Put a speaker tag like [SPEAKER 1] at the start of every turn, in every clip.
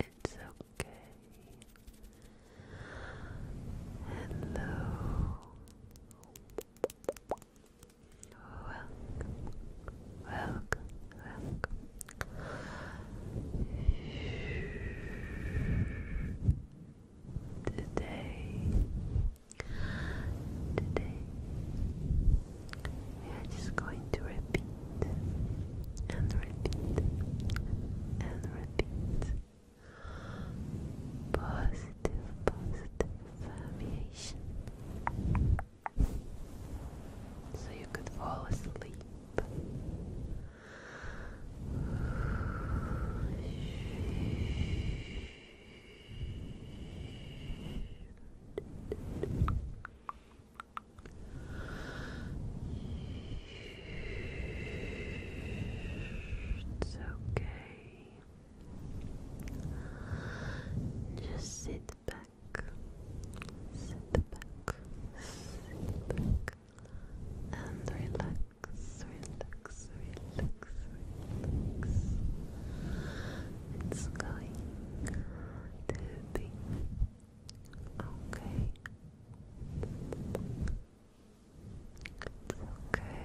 [SPEAKER 1] It's okay. Hello. Welcome. Welcome. Welcome. Today. Today. I'm just going to repeat and repeat and repeat positive, positive variation. So you could fall asleep. It's okay. Just sit back, sit back, sit back, and relax, relax, relax, relax it's going to be okay. It's okay.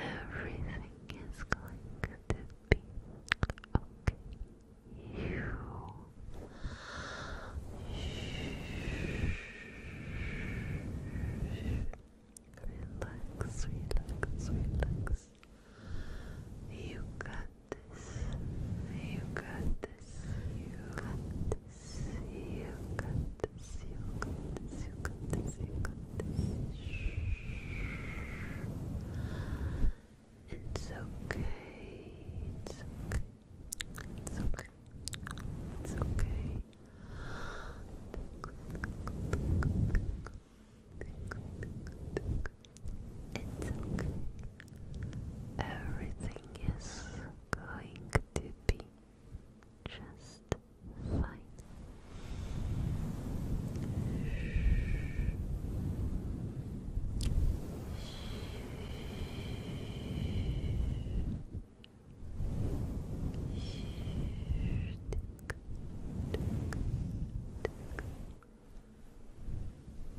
[SPEAKER 1] Everything is going to be okay. You relax, relax, relax. You got you got this. You got this. You got this. You got this. You got this. You got this. It's okay. It's okay. It's okay. It's okay. It's okay. Everything is going to be just fine.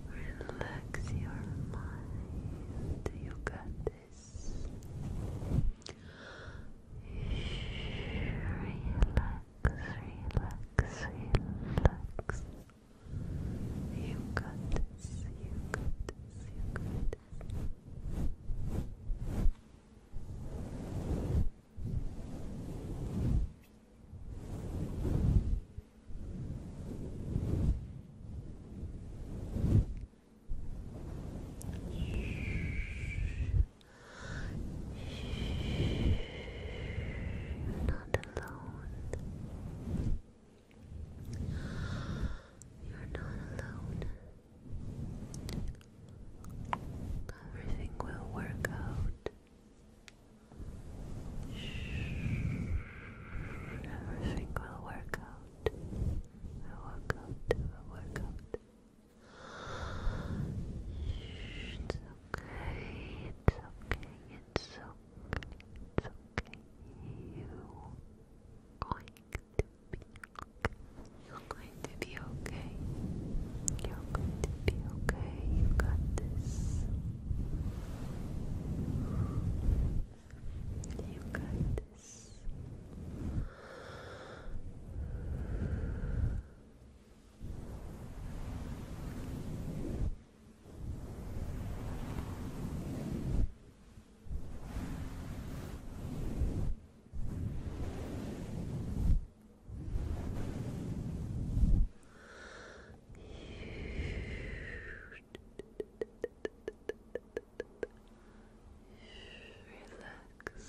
[SPEAKER 1] Relax your mind. You got this. Relax, relax, relax. You got this. You got this. You got this. Not alone. You're not alone. Everything will work out. Everything will work out. Will work out. Will work out. It's okay. It's okay. It's okay. It's okay. You going to be okay. You're going to be okay. You're going to be okay. You got this. You got this. Relax,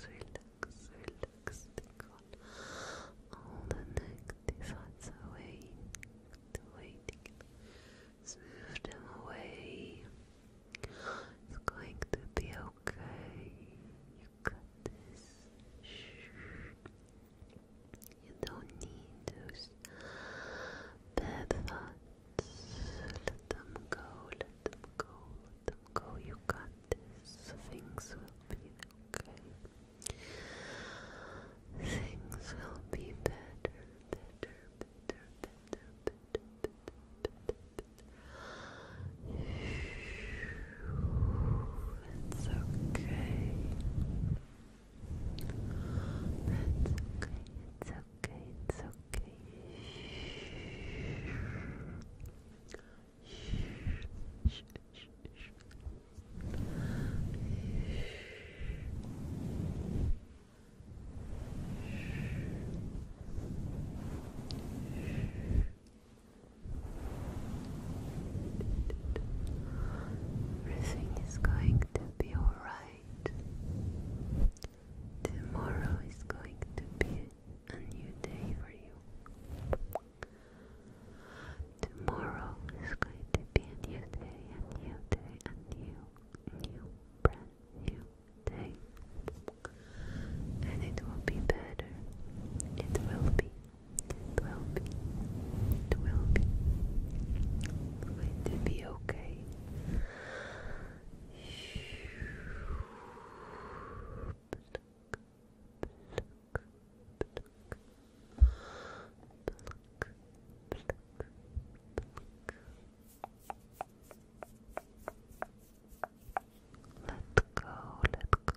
[SPEAKER 1] relax, relax. all the negative thoughts away. away. Smooth them away. It's going to be okay. You got this. You don't need those bad thoughts. Let them go, let them go, let them go. You got this. Things will be okay. Things will be better, better, better, better, better, better, better. better. That's okay. That's okay. It's okay. It's okay. Shh. Shh. Shh. Everything is going to be alright. Tomorrow is going to be a new day for you. Tomorrow is going to be a new day, a new day, a new, new, brand new day. And it will be better. It will be will be, it will be, it be okay. Let go, let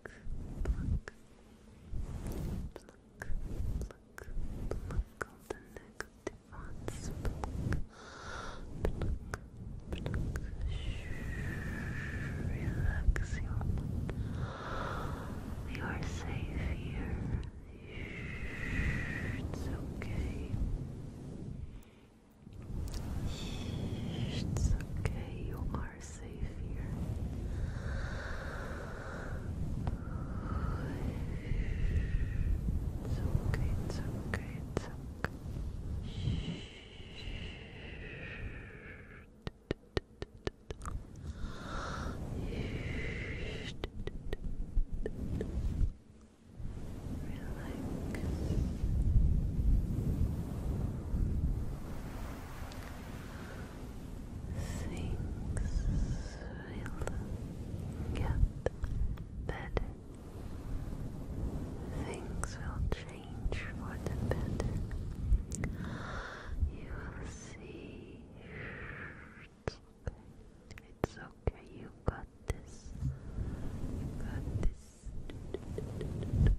[SPEAKER 1] pluck, pluck, pluck, pluck all the negative thoughts, pluck, pluck, Shh, relax you are safe here, it's okay. It's okay, you are are safe here. It's okay, it's okay, it's okay things will get better. Things will change for the better. You will see. It's okay. It's okay. You got this. You got this.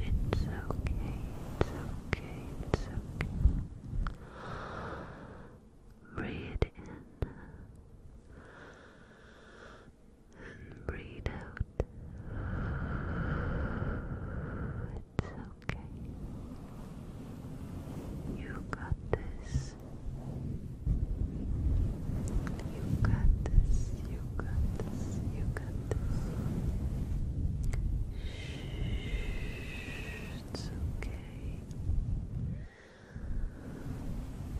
[SPEAKER 1] It's okay. It's okay. It's okay. It's okay. Breathe in and breathe out. It's okay. You got this. You got this, you got this, you got this. it's okay.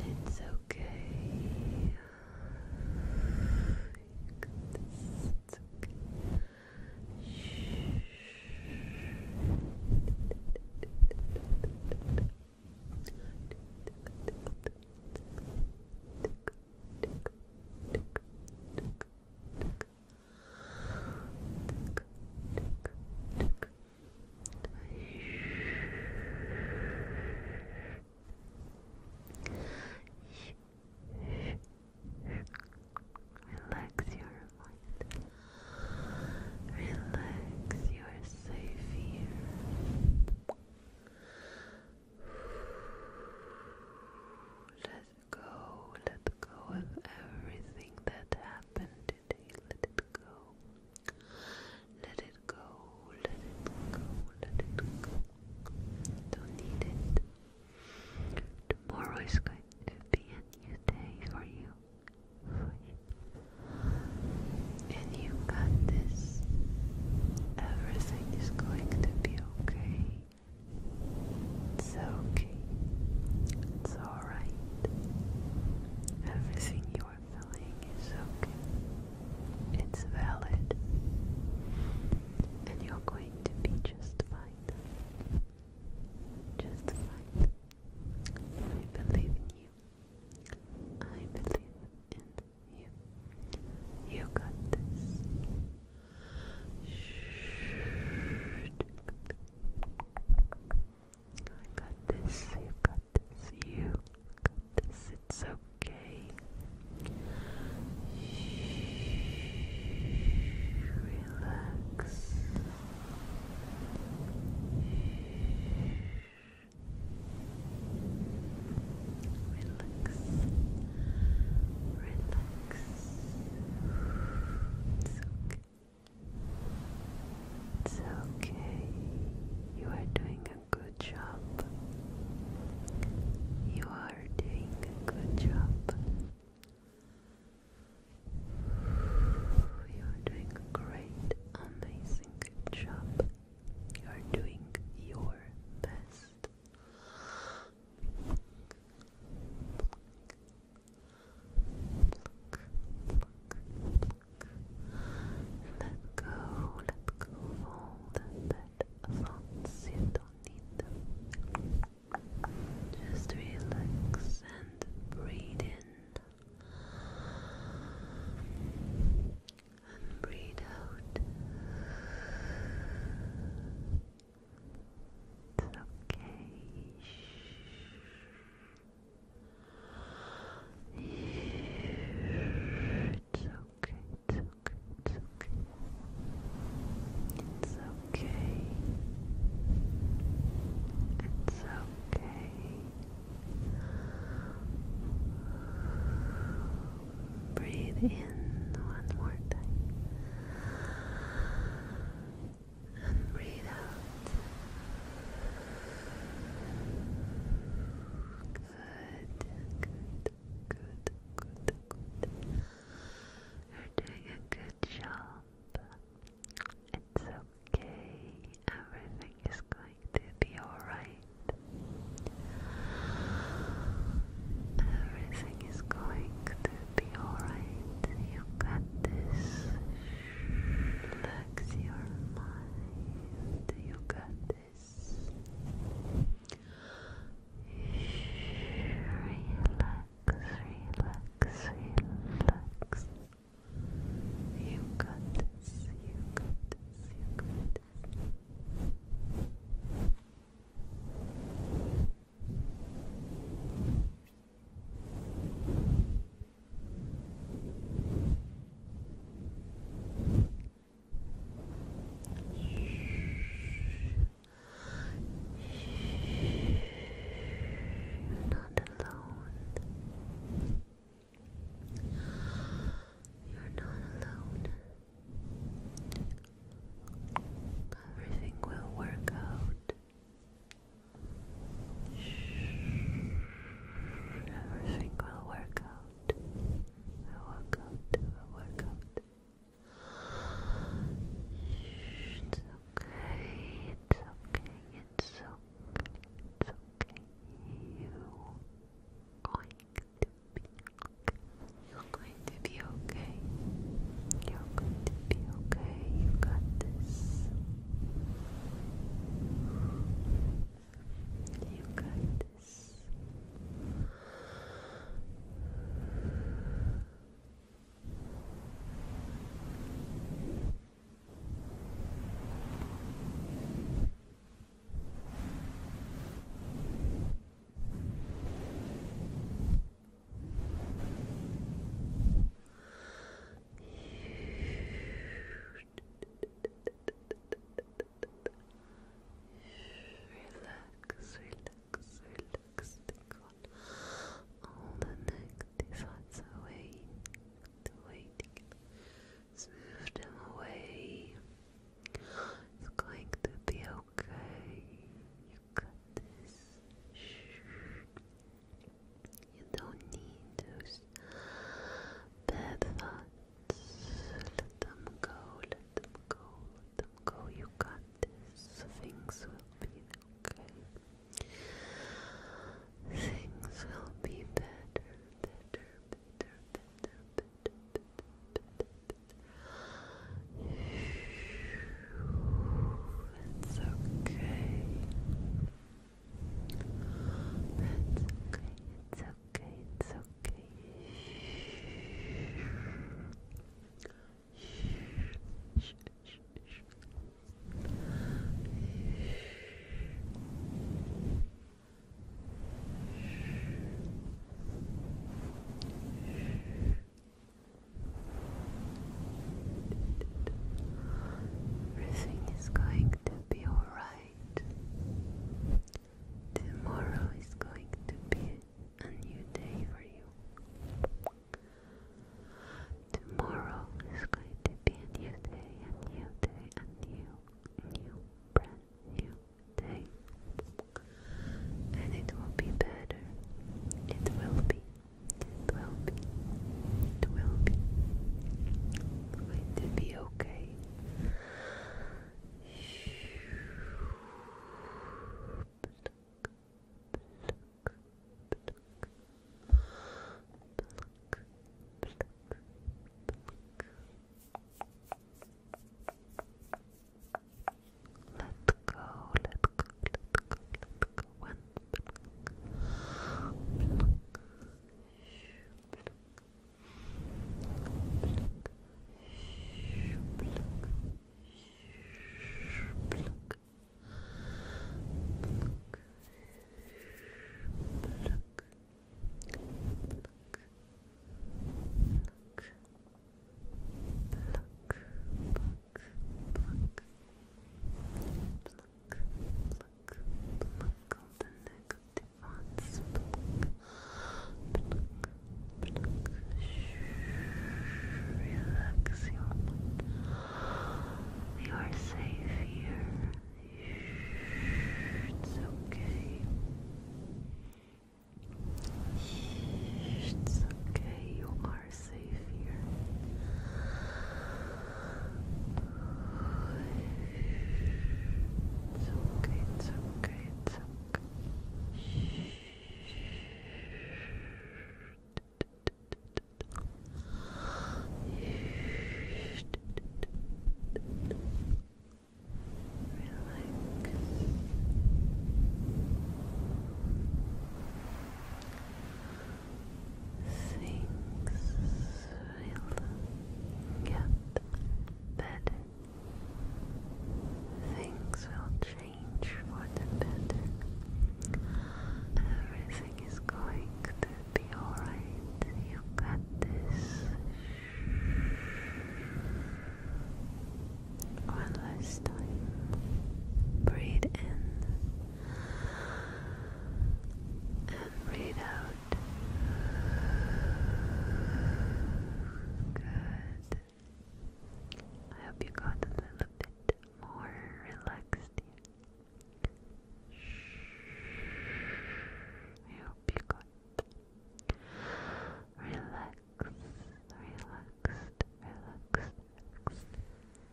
[SPEAKER 1] It's okay. You got this, it's okay. Shh. Relax your mind. Relax, you are safe here.
[SPEAKER 2] Let go, let go of everything that happened today. Let it go. Let it go, let it go, let it go. Don't need it. Tomorrow is going to be a new day for you and you got this. Everything is going to be okay. It's okay. It's alright. Everything you are feeling is okay. It's valid. And you're going to be just fine. Just fine. I believe in you. I believe in you, you got this. I got this. You got this. You got this. It's okay. Relax. Relax. Relax. Relax. It's okay. It's okay. You are doing a good job. You are doing a good job. You are doing a great, amazing job. You are doing your best. Let go, let go all the bad thoughts. You don't need Just relax and breathe in and breathe out. It's okay. It's okay. It's okay. It's okay. It's okay. Breathe in one more time and breathe out. Good, good, good, good, good. You're doing a good job. It's okay. Everything is going going to be alright. Everything is going to be alright. You got this. Relax your mind. You got this. Relax, relax, relax. You got this, you got this, you got you're not alone. You're not alone. Everything will work out. Everything will work out. Will work out. Will work out. It's okay. It's okay. It's okay. It's okay. You going you're going to be okay. You're going to be okay. You got this. You got this. Relax, relax, relax. all the neck, this away, the Smooth them away. It's going to
[SPEAKER 1] be okay. You got this. You don't need those bad thoughts. Let them go, let them go, let them go. You got this. Things will be okay. Things will be better, better bitter, bitter, bitter, bitter, bitter. It's okay. It's okay. It's okay. It's okay. It's okay. Everything is going to be alright. Tomorrow is going to be a new day for you. Tomorrow is going to be a new day, a new day, a new, new, brand new day. And it will be better. It will be. It will be. It will be. It will be okay. Let go, let go, let go, let go. One. Pluck, pluck, pluck, pluck, pluck, pluck, pluck, pluck, pluck, Look. Look. Pluck, pluck, pluck. Pluck, pluck, pluck all Relax You are safe here. It's okay. It's okay, you are safe here. It's okay, it's okay, it's okay. Relax.
[SPEAKER 3] Things will get better. Things will change for the better. Everything is going to be alright. You got this. One last time. Breathe in and breathe out. Good. I hope you got a little bit more relaxed I hope you got relaxed, relaxed, relaxed,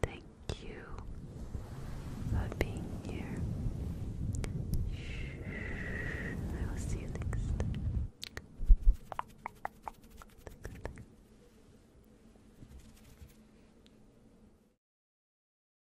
[SPEAKER 3] Thank you for being here. I will see you next